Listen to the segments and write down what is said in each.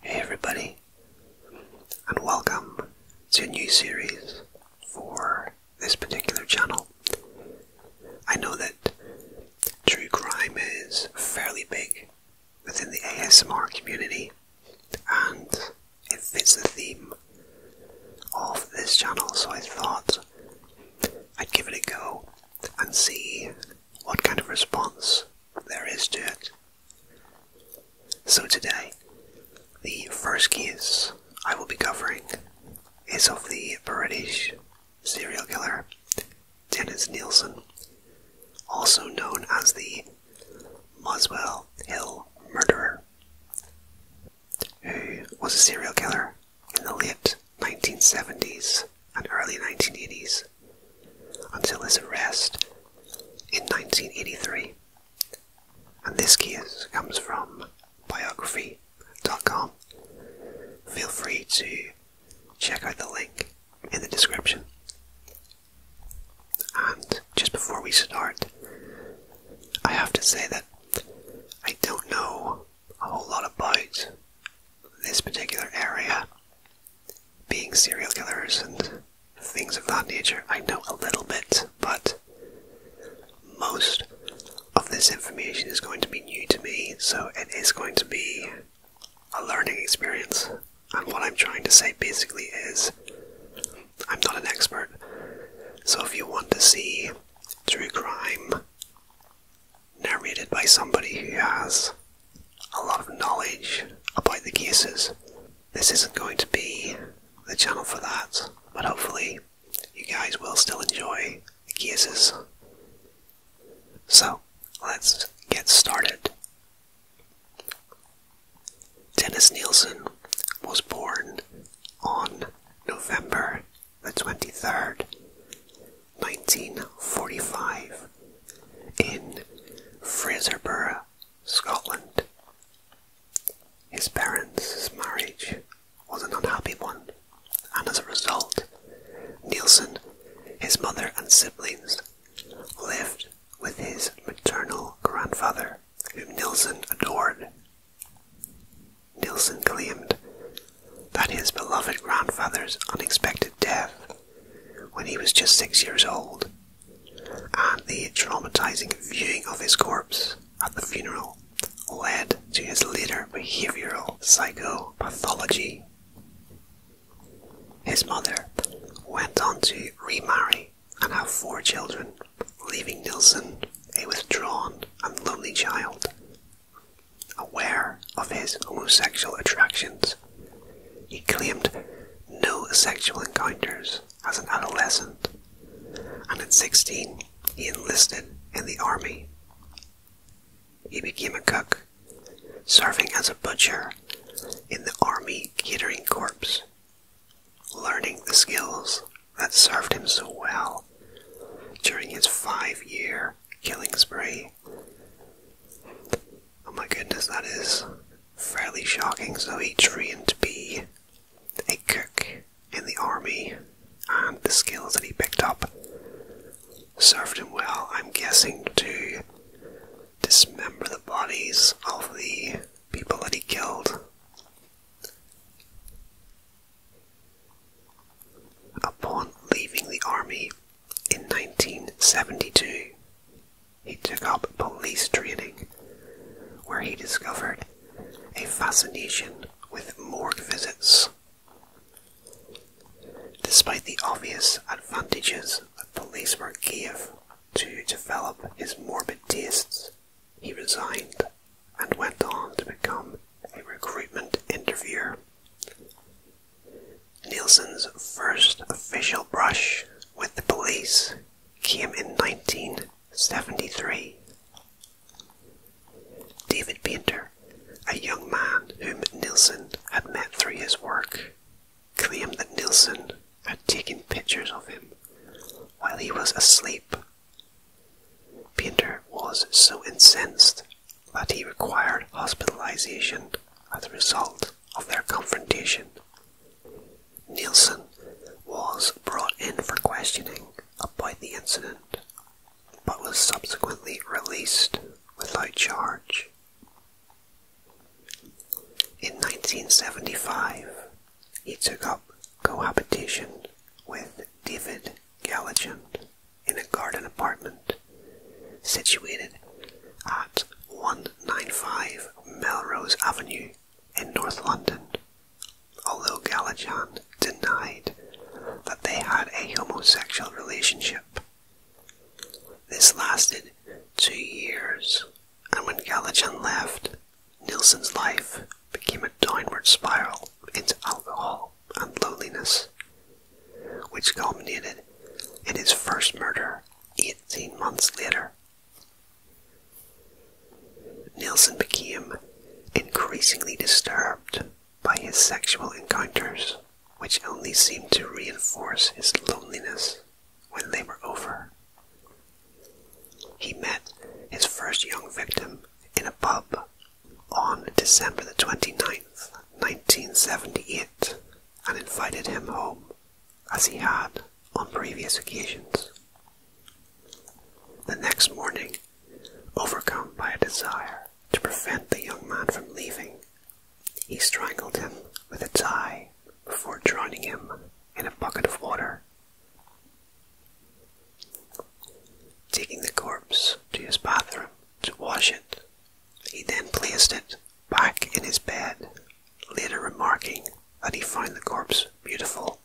Hey everybody, and welcome to a new series for this particular channel. I know that true crime is fairly big within the ASMR community, and it fits the theme of this channel, so I thought I'd give it a go and see what kind of response there is to it. So today, the first case I will be covering is of the British serial killer Dennis Nielsen, also known as the Moswell Hill murderer, who was a serial killer in the late 1970s and early 1980s until his arrest in 1983. And this case comes from biography.com. Feel free to check out the link in the description. And just before we start, I have to say that I don't know a whole lot about this particular area being serial killers and things of that nature. I know a little bit, but most of this information is going to be new to me, so it is going to be a learning experience. And what I'm trying to say basically is I'm not an expert. So if you want to see true crime narrated by somebody who has a lot of knowledge about the cases. This isn't going to be the channel for that, but hopefully you guys will still enjoy the cases. So, let's get started. Dennis Nielsen was born on November the 23rd, 1945, in Fraserburgh, Scotland. His parents' marriage was an unhappy one, and as a result, Nielsen, his mother, and siblings lived with his maternal grandfather, whom Nielsen adored. Nielsen claimed that his beloved grandfather's unexpected death when he was just six years old, and the traumatizing viewing of his corpse at the funeral led to his later behavioral psychopathology. His mother went on to remarry and have four children, leaving Nilsson a withdrawn and lonely child. Aware of his homosexual attractions, he claimed no sexual encounters as an adolescent, and at 16 he enlisted in the army. He became a cook, serving as a butcher in the Army Catering Corps, learning the skills that served him so well during his five year killing spree. Oh my goodness, that is fairly shocking. So he trained to be a cook in the army, and the skills that he picked up served him well, I'm guessing, to dismember the bodies of the people that he killed. Upon leaving the army in 1972, he took up police training, where he discovered a fascination with morgue visits. Despite the obvious advantages that police work gave to develop his morbid tastes, he resigned and went on to become a recruitment interviewer. Nielsen's first official brush with the police came in 1973. David Painter, a young man whom Nielsen had met through his work, claimed that Nielsen had taken pictures of him while he was asleep. Painter was so incensed that he required hospitalization as a result of their confrontation Nielsen was brought in for questioning about the incident, but was subsequently released without charge. In 1975, he took up cohabitation with David Galligant in a garden apartment situated at 195 Melrose Avenue in North London, although Galachan denied that they had a homosexual relationship. This lasted two years, and when Galachan left, Nielsen's life became a downward spiral into alcohol and loneliness, which culminated in his first murder 18 months later Nelson became increasingly disturbed by his sexual encounters, which only seemed to reinforce his loneliness when they were over. He met his first young victim in a pub on December the 29th, 1978, and invited him home as he had on previous occasions. The next morning, overcome by a desire to prevent the young man from leaving, he strangled him with a tie before drowning him in a bucket of water. Taking the corpse to his bathroom to wash it, he then placed it back in his bed later remarking that he found the corpse beautiful.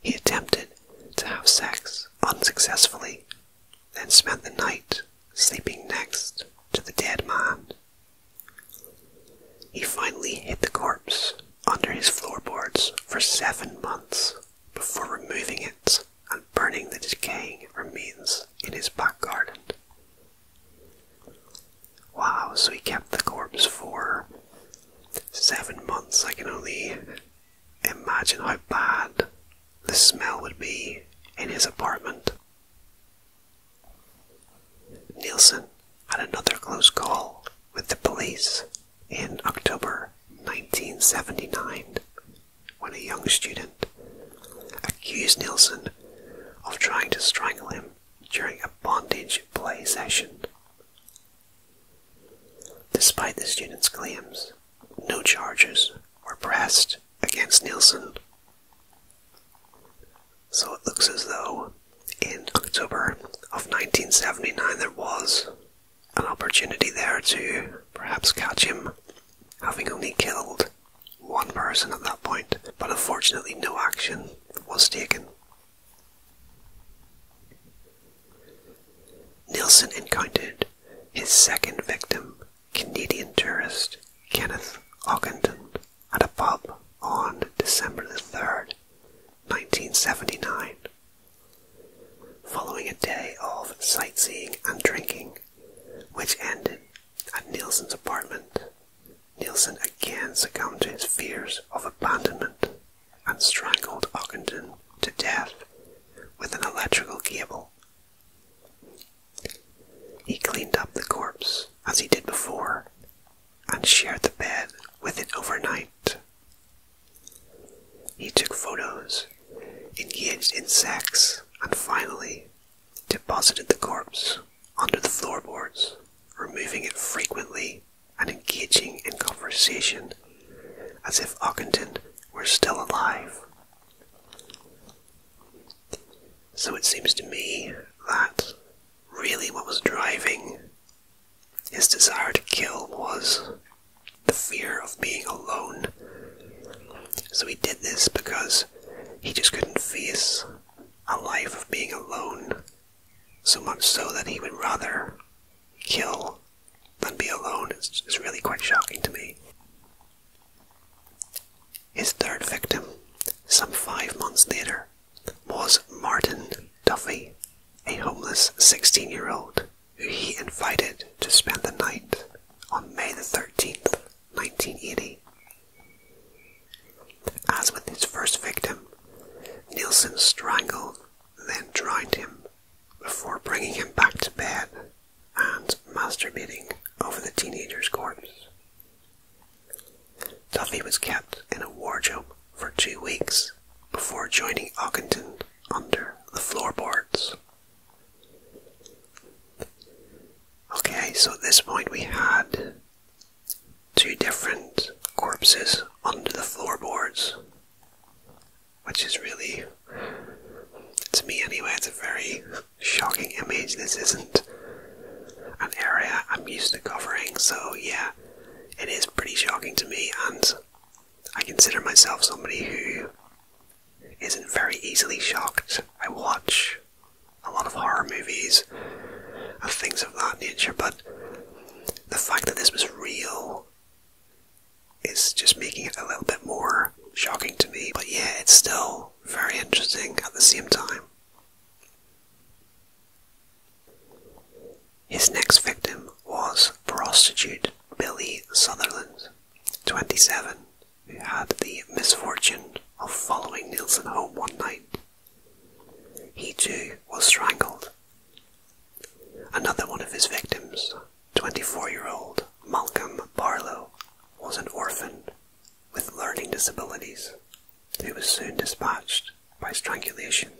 He attempted to have sex unsuccessfully, then spent the night sleeping next to the dead man. He finally hid the corpse under his floorboards for seven months before removing it and burning the decaying remains in his back garden. Wow, so he kept the corpse for seven months. I can only imagine how bad the smell would be in his apartment. Nielsen had another close call with the police in October 1979 when a young student accused Nielsen of trying to strangle him during a bondage play session. Despite the students' claims, no charges were pressed against Nielsen. So it looks as though in October of 1979 there was an opportunity there to perhaps catch him, having only killed one person at that point, but unfortunately no action was taken. Nielsen encountered his second victim, Canadian tourist Kenneth Ockenden, at a pub on December the 3rd, 1979. Following a day of sightseeing and drinking, which ended at Nielsen's apartment, Nielsen again succumbed to his fears of abandonment and strangled Ogden to death with an electrical cable. He cleaned up the corpse as he did before and shared the bed with it overnight. He took photos, engaged in sex, and finally deposited the corpse under the floorboards, removing it frequently and engaging in conversation as if Ockenden were still alive. So it seems to me that really what was driving his desire to kill was the fear of being alone. So he did this because he just couldn't face a life of being alone, so much so that he would rather kill than be alone. It's, really quite shocking to me. His third victim, some five months later, was Martin Duffy, a homeless 16 year old who he invited to spend the night on May the 13th 1980. As with his first victim, Nielsen strangled, then drowned him, before bringing him back to bed and masturbating over the teenager's corpse. Duffy was kept in a wardrobe for two weeks before joining Ockington under the floorboards. Okay, so at this point we had two different corpses under the floorboards, which is really, to me anyway, it's a very shocking image. This isn't an area I'm used to covering, so yeah, it is pretty shocking to me, and I consider myself somebody who isn't very easily shocked. I watch a lot of horror movies and things of that nature, but the fact that this was real is just making it a little bit more shocking to me. But yeah, it's still very interesting at the same time. His next victim was prostitute Billy Sutherland, 27, who had the misfortune of following Nielsen home one night he too was strangled. Another one of his victims, 24 year old Malcolm Barlow, was an orphan with learning disabilities He was soon dispatched by strangulation.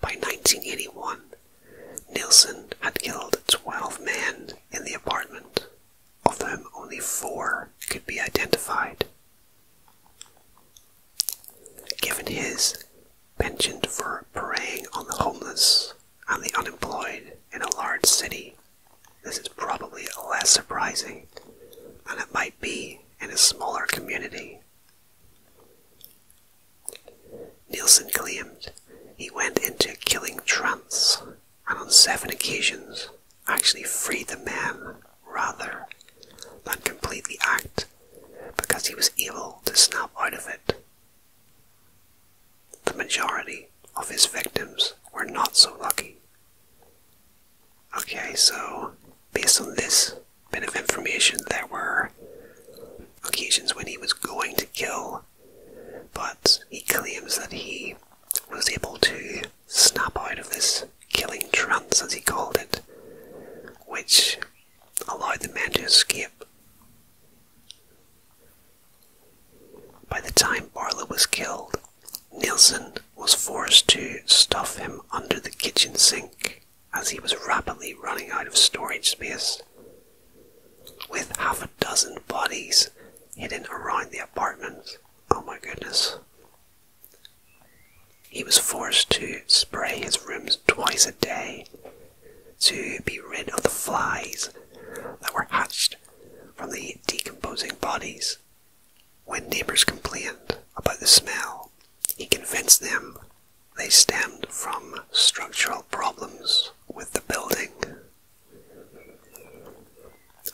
By 1981, Nielsen had killed 12 men in the apartment of them, only four could be identified. Given his penchant for preying on the homeless and the unemployed in a large city, this is probably less surprising than it might be in a smaller community. Nielsen claimed he went into killing trance and on seven occasions actually freed the man rather than complete the act because he was able to snap out of it. The majority of his victims were not so lucky. Okay, so based on this bit of information, there were occasions when he was going to kill, but he claims that he was able to snap out of this killing trance, as he called it, which allowed the men to escape. By the time Barlow was killed, Nielsen was forced to stuff him under the kitchen sink as he was rapidly running out of storage space. With half a dozen bodies hidden around the apartment, oh my goodness, he was forced to spray his rooms twice a day to be rid of the flies that were hatched from the decomposing bodies. When neighbors complained about the smell, he convinced them they stemmed from structural problems with the building.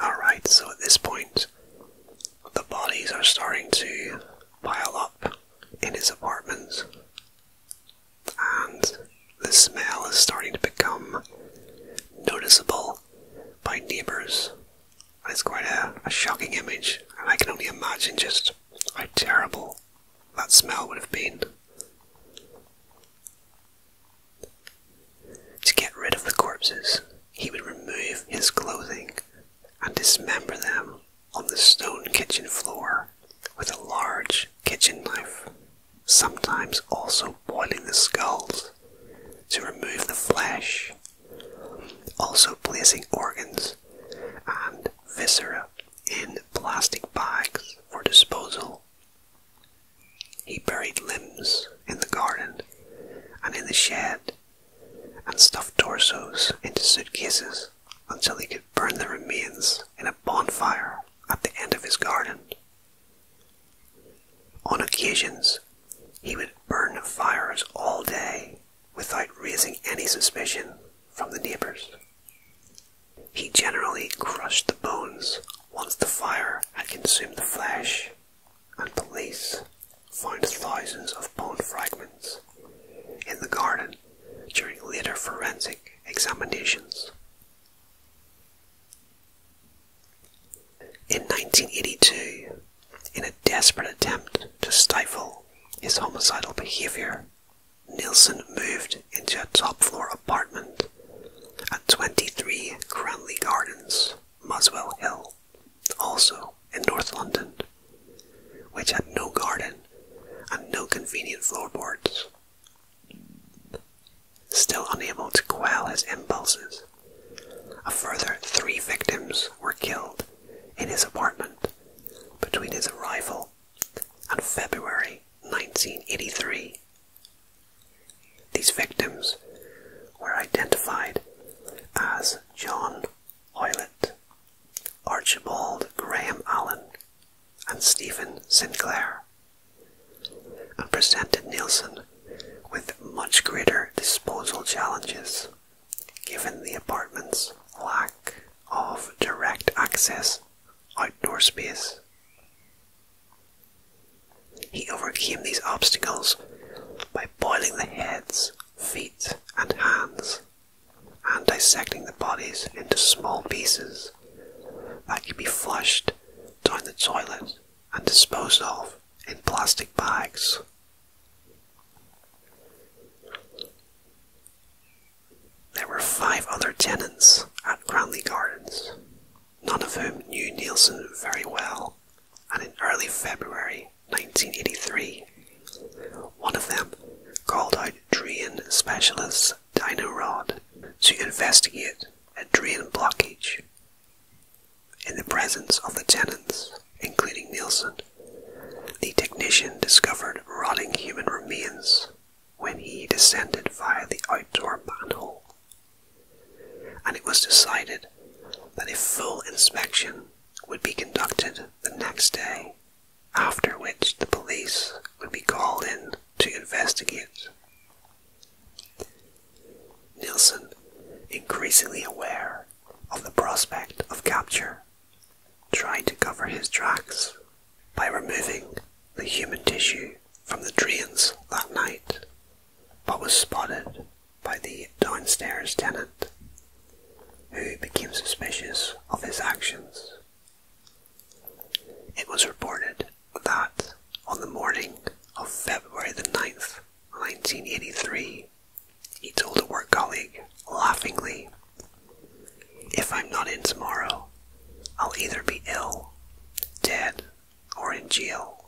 Alright, so at this point, the bodies are starting to pile up in his apartment, and the smell is starting to become noticeable by neighbours. It's quite a, shocking image, and I can only imagine just how terrible that smell would have been. To get rid of the corpses, he would remove his clothing and dismember them on the stone kitchen floor with a large kitchen knife, sometimes also boiling the skulls to remove the flesh, also placing organs and viscera in plastic bags for disposal. He buried limbs in the garden and in the shed and stuffed torsos into suitcases until he could burn the remains in a bonfire at the end of his garden. On occasions, he would burn fires all day without raising any suspicion from the neighbors. He generally crushed the bones once the fire had consumed the flesh and police found thousands of bone fragments in the garden during later forensic examinations. In 1982, in a desperate attempt to stifle his homicidal behaviour, Nielsen moved into a top floor apartment at 23 Cranley Gardens, Muswell Hill also in North London, which had no garden and no convenient floorboards. Still unable to quell his impulses, a further three victims were killed in his apartment between his arrival and February 1983. These victims were identified as John Hoylett, Archibald Graham Allen, and Stephen Sinclair, and presented Nielsen with much greater disposal challenges, given the apartment's lack of direct access outdoor space. He overcame these obstacles by boiling the heads, feet, and hands, and dissecting the bodies into small pieces that could be flushed down the toilet and disposed of in plastic bags. There were five other tenants at Cranley Gardens, none of whom knew Nielsen very well and in early February 1983, one of them called out drain specialist Dino Rod to investigate a drain blockage. In the presence of the tenants, including Nielsen, the technician discovered rotting human remains when he descended via the outdoor manhole and it was decided that a full inspection would be conducted the next day, after which the police would be called in to investigate. Nielsen, increasingly aware of the prospect of capture, tried to cover his tracks by removing the human tissue from the drains that night but was spotted by the downstairs tenant, who became suspicious of his actions. It was reported that on the morning of February the 9th, 1983, he told a work colleague laughingly, If I'm not in tomorrow, I'll either be ill, dead, or in jail.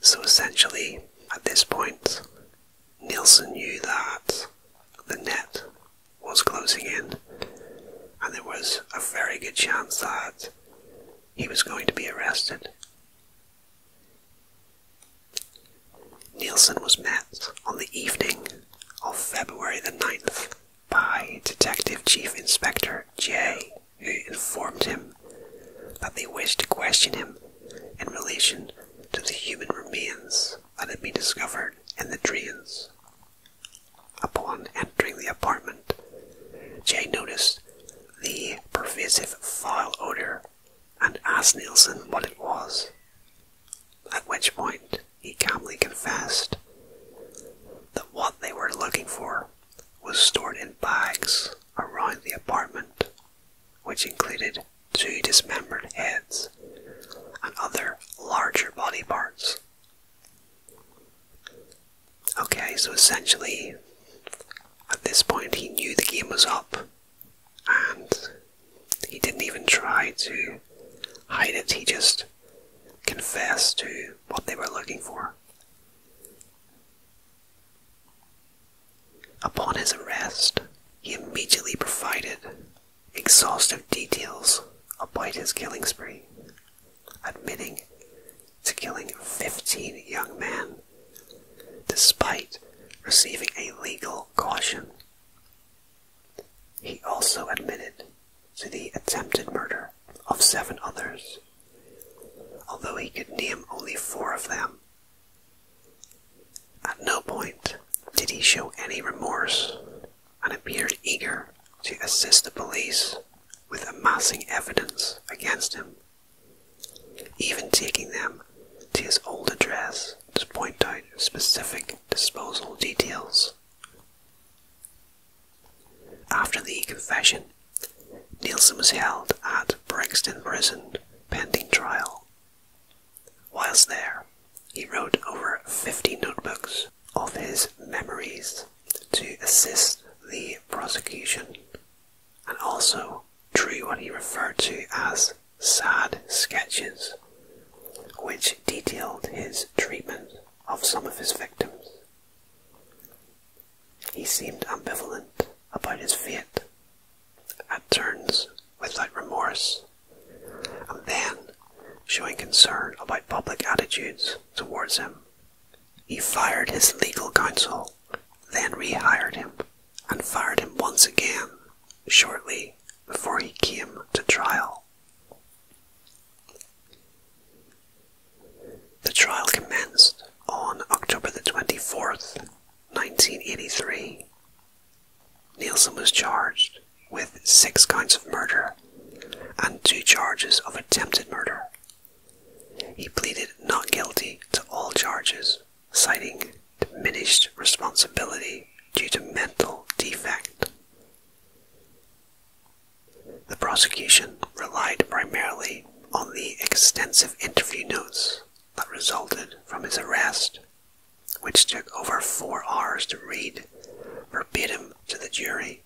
So essentially, at this point, Nielsen knew that the net was closing in, and there was a very good chance that he was going to be arrested. Nielsen was met on the evening of February the 9th by Detective Chief Inspector J who informed him that they wished to question him in relation to the human remains that had been discovered in the drains. Upon entering the apartment, Jay noticed the pervasive foul odor and asked Nielsen what it was, at which point he calmly confessed that what they were looking for was stored in bags around the apartment, which included two dismembered heads and other larger body parts. Okay, so essentially, at this point, he knew the game was up and he didn't even try to hide it, he just confessed to what they were looking for. Upon his arrest, he immediately provided exhaustive details about his killing spree, admitting to killing 15 young men despite receiving a legal caution. He also admitted to the attempted murder of seven others although he could name only four of them. At no point did he show any remorse and appeared eager to assist the police with amassing evidence against him, even taking them to his old address to point out specific disposal details. After the confession, Nielsen was held at Brixton Prison pending trial. Whilst there, he wrote over 50 notebooks of his memories to assist the prosecution and also drew what he referred to as sad sketches, which detailed his treatment of some of his victims. He seemed ambivalent about his fate, at turns without remorse, and then showing concern about public attitudes towards him. He fired his legal counsel, then rehired him, and fired him once again shortly before he came to trial. The trial commenced on October the 24th, 1983. Nielsen was charged with six counts of murder and two charges of attempted murder. He pleaded not guilty to all charges, citing diminished responsibility due to mental defect. The prosecution relied primarily on the extensive interview notes that resulted from his arrest, which took over four hours to read verbatim to the jury,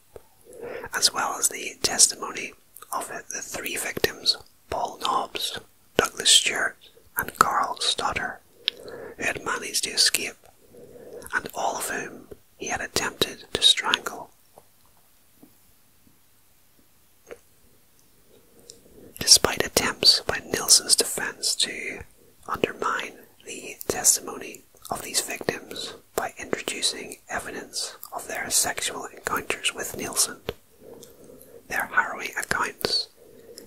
as well as the testimony of the three victims, Paul Nobbs, Douglas Stewart, and Carl Stoddard, who had managed to escape, and all of whom he had attempted to strangle. Despite attempts by Nielsen's defense to undermine the testimony of these victims by introducing evidence of their sexual encounters with Nielsen, their harrowing accounts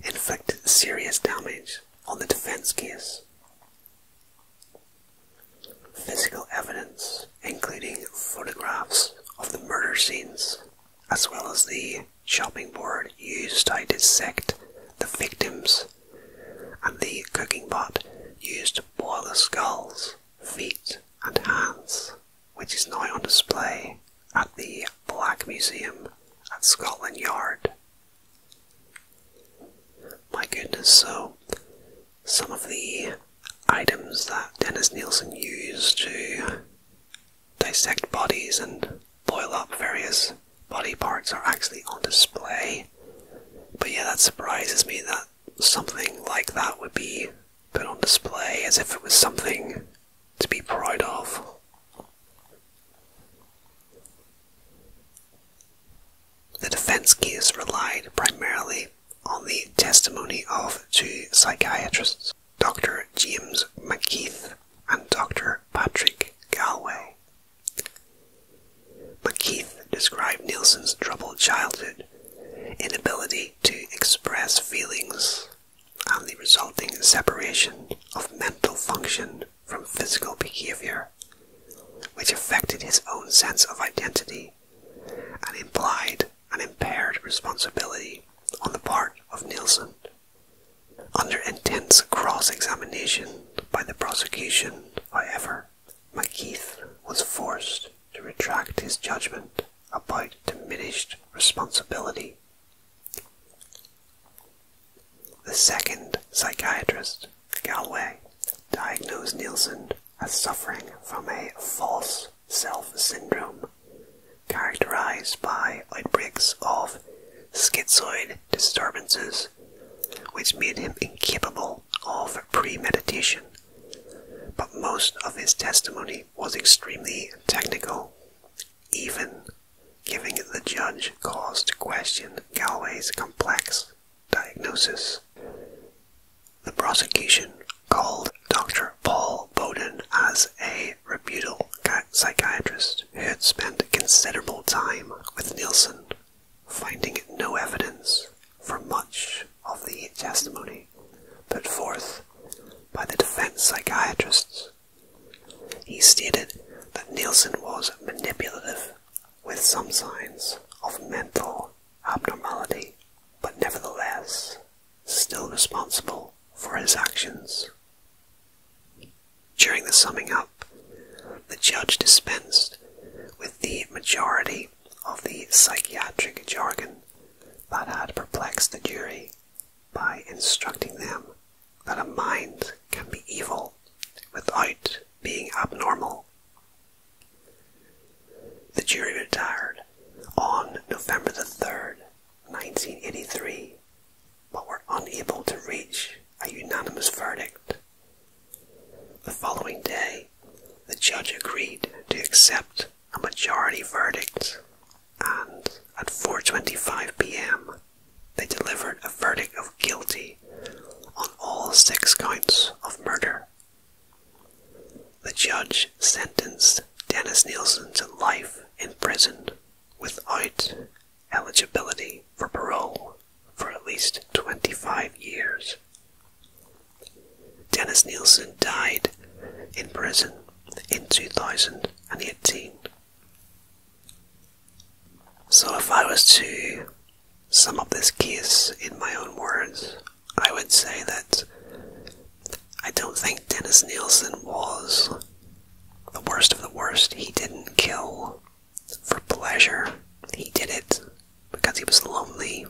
inflicted serious damage on the defense case. Physical evidence including photographs of the murder scenes, as well as the chopping board used to dissect the victims, and the cooking pot used to boil the skulls, feet, and hands, which is now on display at the Black Museum at Scotland Yard. My goodness, so some of the items that Dennis Nielsen used to dissect bodies and boil up various body parts are actually on display. But yeah, that surprises me that something like that would be put on display as if it was something to be proud of. The defense case relied primarily on the testimony of two psychiatrists Dr. James McKeith and Dr. Patrick Galway. McKeith described Nielsen's troubled childhood, inability to express feelings, and the resulting separation of mental function from physical behavior, which affected his own sense of identity and implied an impaired responsibility on the part of Nielsen. Under intense cross-examination by the prosecution, however, McKeith was forced to retract his judgment about diminished responsibility. The second psychiatrist, Galway, diagnosed Nielsen as suffering from a false self syndrome, characterized by outbreaks of schizoid disturbances, which made him incapable of premeditation. But most of his testimony was extremely technical, even giving the judge cause to question Galway's complex diagnosis. The prosecution called Dr. Paul Bowden as a reputable psychiatrist who had spent considerable time with Nielsen, finding no evidence for much of the testimony put forth by the defense psychiatrists. He stated that Nielsen was manipulative with some signs of mental abnormality, but nevertheless still responsible for his actions. During the summing up, the judge dispensed with the majority of the psychiatric jargon that had perplexed the jury by instructing them that a mind can be evil without being abnormal. The jury retired on November the 3rd, 1983 but were unable to reach a unanimous verdict. The following day, the judge agreed to accept a majority verdict, and at 4:25 p.m., they delivered a verdict of guilty on all six counts of murder. The judge sentenced Dennis Nielsen to life in prison without eligibility for parole for at least 25 years. Dennis Nielsen died in prison in 2018. So, if I was to sum up this case in my own words, I would say that I don't think Dennis Nielsen was the worst of the worst. He didn't kill for pleasure, he did it because he was lonely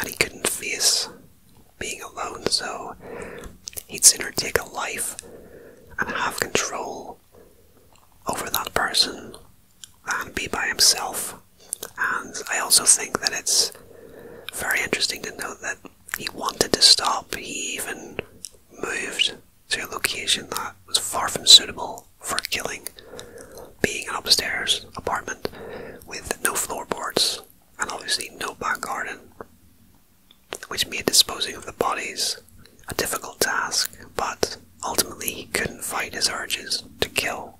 and he couldn't face being alone, so he'd sooner take a life and have control over that person than be by himself. And I also think that it's very interesting to note that he wanted to stop. He even moved to a location that was far from suitable for killing, being an upstairs apartment with no floorboards and obviously no back garden, which made disposing of the bodies a difficult task, but ultimately he couldn't fight his urges to kill.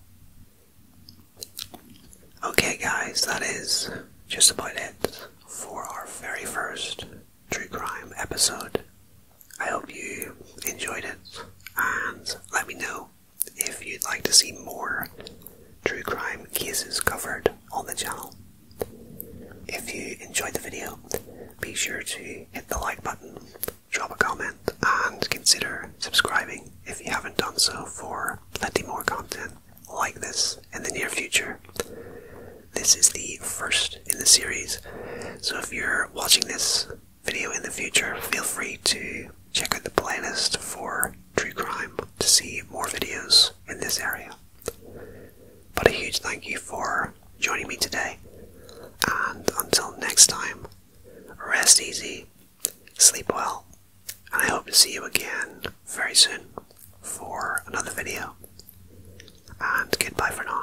Okay, guys, that is just about it for our very first true crime episode. I hope you enjoyed it and let me know if you'd like to see more true crime cases covered on the channel. If you enjoyed the video, be sure to hit the like button, drop a comment, and consider subscribing if you haven't done so for plenty more content like this in the near future. This is the first in the series, so if you're watching this video in the future, feel free to check out the playlist for true crime to see more videos in this area. But a huge thank you for joining me today, and until next time, rest easy, sleep well, and I hope to see you again very soon for another video. And goodbye for now.